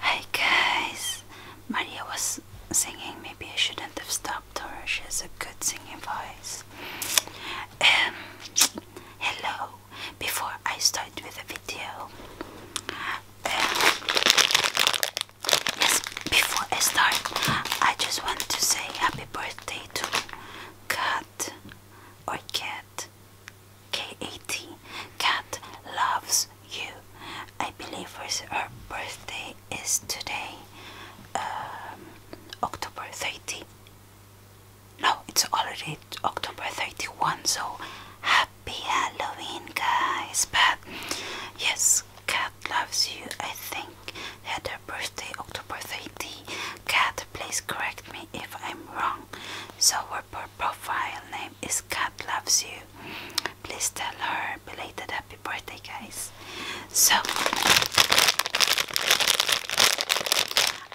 Hey guys, Maria was singing. Maybe I shouldn't have stopped her. She has a good singing voice. Um, hello. Before I start with the video, um, yes. Before I start, I just want to say happy birthday to Kat or Cat. K-A-T, cat loves you. I believe her birthday is today, um, October 30. No, it's already October 31, so happy Halloween, guys. But yes, Cat loves you, I think, had her birthday October 30. Cat, please correct me if I'm wrong. So, we're profile name is Cat Loves You. Please tell her belated happy birthday, guys. So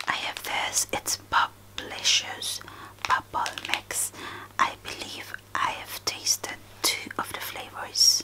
I have this. It's Publishers Bubble Mix. I believe I have tasted two of the flavors.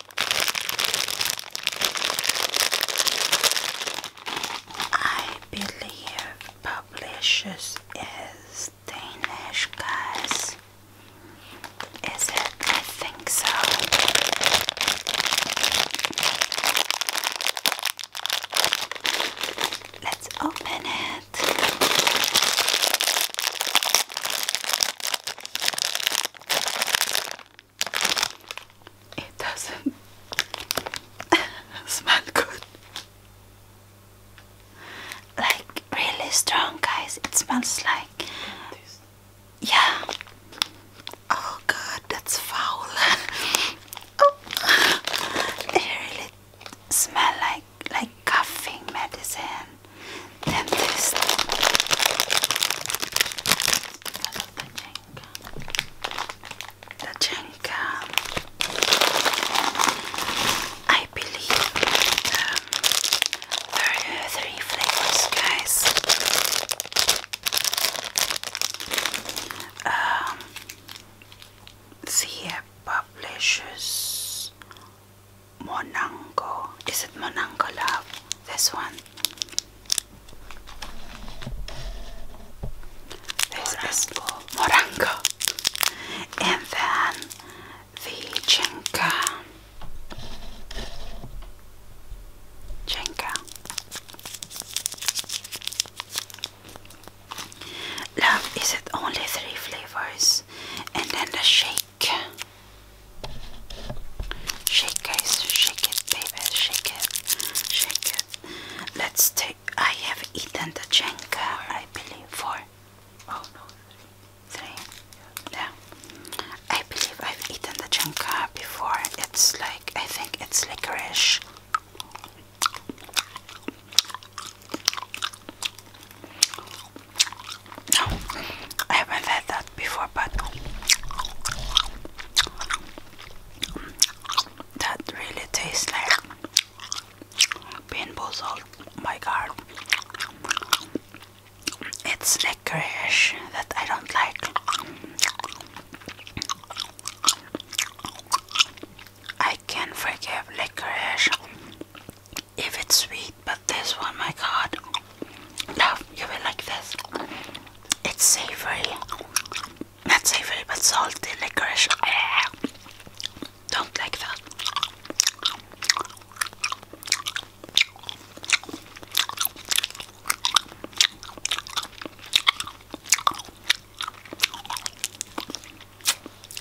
I believe publishers is Danish guys. Is it? I think so. Let's open it. It doesn't smell good. Like really strong, guys. It smells like. Yeah. Oh god, that's foul. oh. It really smell like like coughing medicine dentist. I the Jenga. The Jenga. I believe um, there are three flavors, guys. Um, she publishes Monango. Is it Monango love? This one. This Morango. is Morango. And then the Jenga. Jenga. Love, is it only three flavors? And then the shake shake. Shake, it, shake it, baby, shake it, shake it. Let's take. I have eaten the jenga, I believe. Four. Oh no, three. Yeah. I believe I've eaten the jenga before. It's like I think it's licorice. No, I haven't had that before, but that really tastes like pinball my god, it's licorice that I don't like. I can forgive licorice if it's sweet, but this one, my god, love, you will like this. It's savory, not savory, but salty licorice. Ah! Don't like that.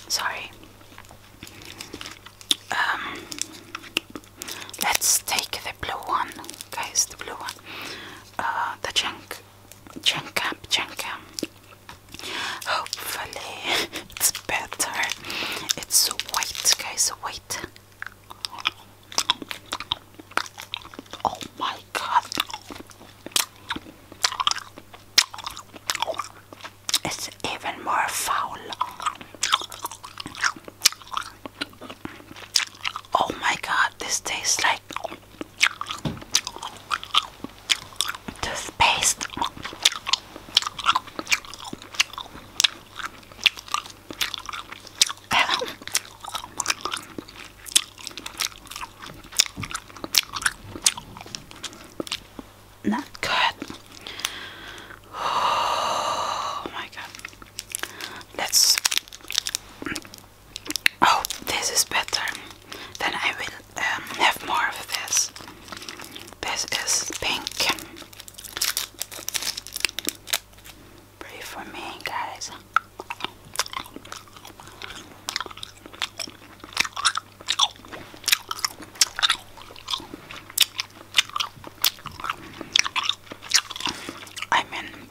Sorry, um, let's take the blue one, guys. The blue one, uh, the chunk, chunk up, chunk up. Hopefully, it's better. It's white, guys. White. Oh my god it's even more foul. Oh my god, this tastes like toothpaste not good. Oh my god. Let's Oh, this is better. Then I will um, have more of this. This is pink. Pray for me, guys. I mean,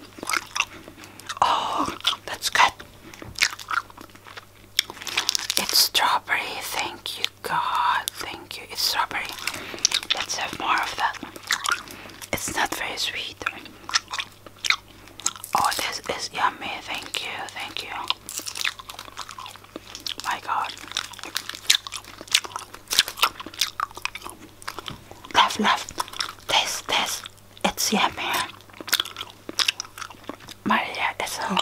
oh, that's good. It's strawberry. Thank you, God. Thank you. It's strawberry. Let's have more of that. It's not very sweet. Oh, this is yummy. Thank you. Thank you. My God. Love, love. Taste, taste. It's yummy. Maria is so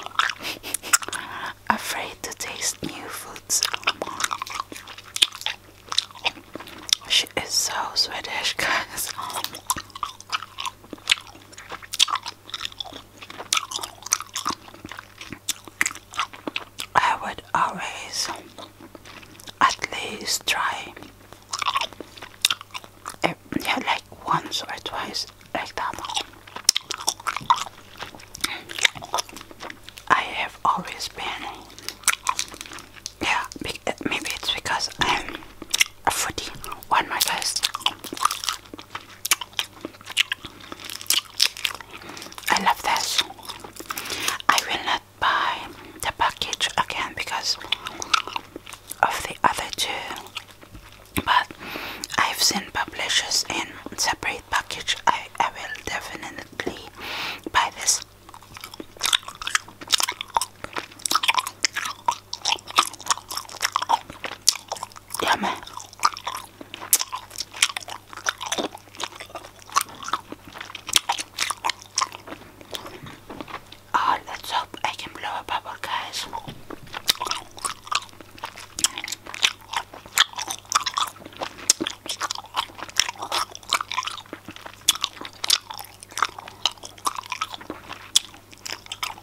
afraid to taste new foods. She is so Swedish, guys. I would always at least try eh, yeah, like once or twice like that. I have always been, yeah, eh, maybe it's because I'm a foodie. One my guys I love this. I will not buy the package again because of the other two, but I've seen publishers in separate package. I, will definitely buy this. Yummy. Oh, let's hope I can blow a bubble, guys.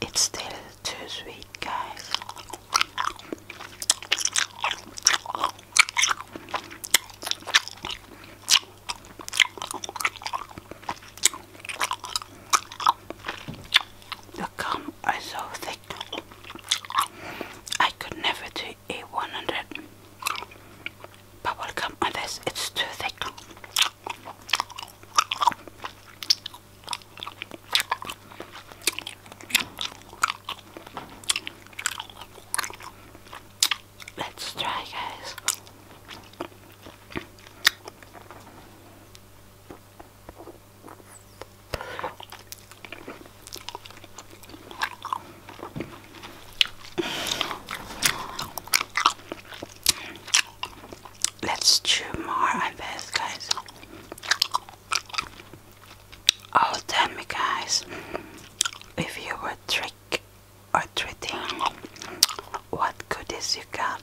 It's still too sweet, guys. The gum is so thick. I could never do a 100 bubble gum on It's too thick. Let's try, guys. Let's chew more I guess, guys. Oh, tell me, guys, if you were trick or treating, what goodies you got?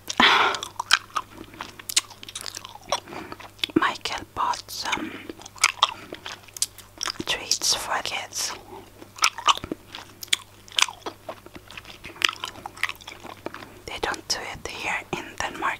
Michael bought some treats for kids. They don't do it here in Denmark.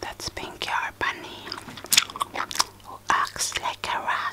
That's Pinky our bunny who acts like a rat.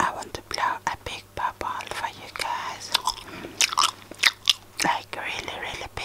I want to blow a big bubble for you guys. Like really, really big.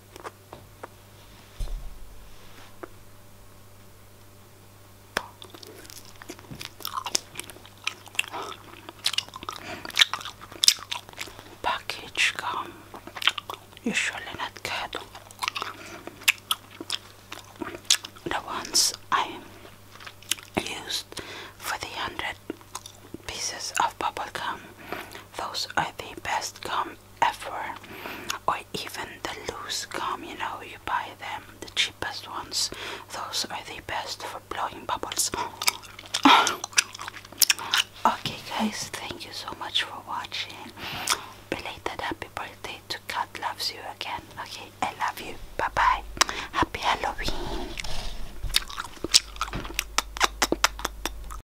Package gum, usually not good. The ones I used for the hundred pieces of bubble gum those are the best gum ever, or even the loose gum. You know, you buy them, the cheapest ones. Those are the best for blowing bubbles. okay, guys, thank you so much for watching. Belated happy birthday to God loves you again. Okay, I love you. Bye bye. Happy Halloween.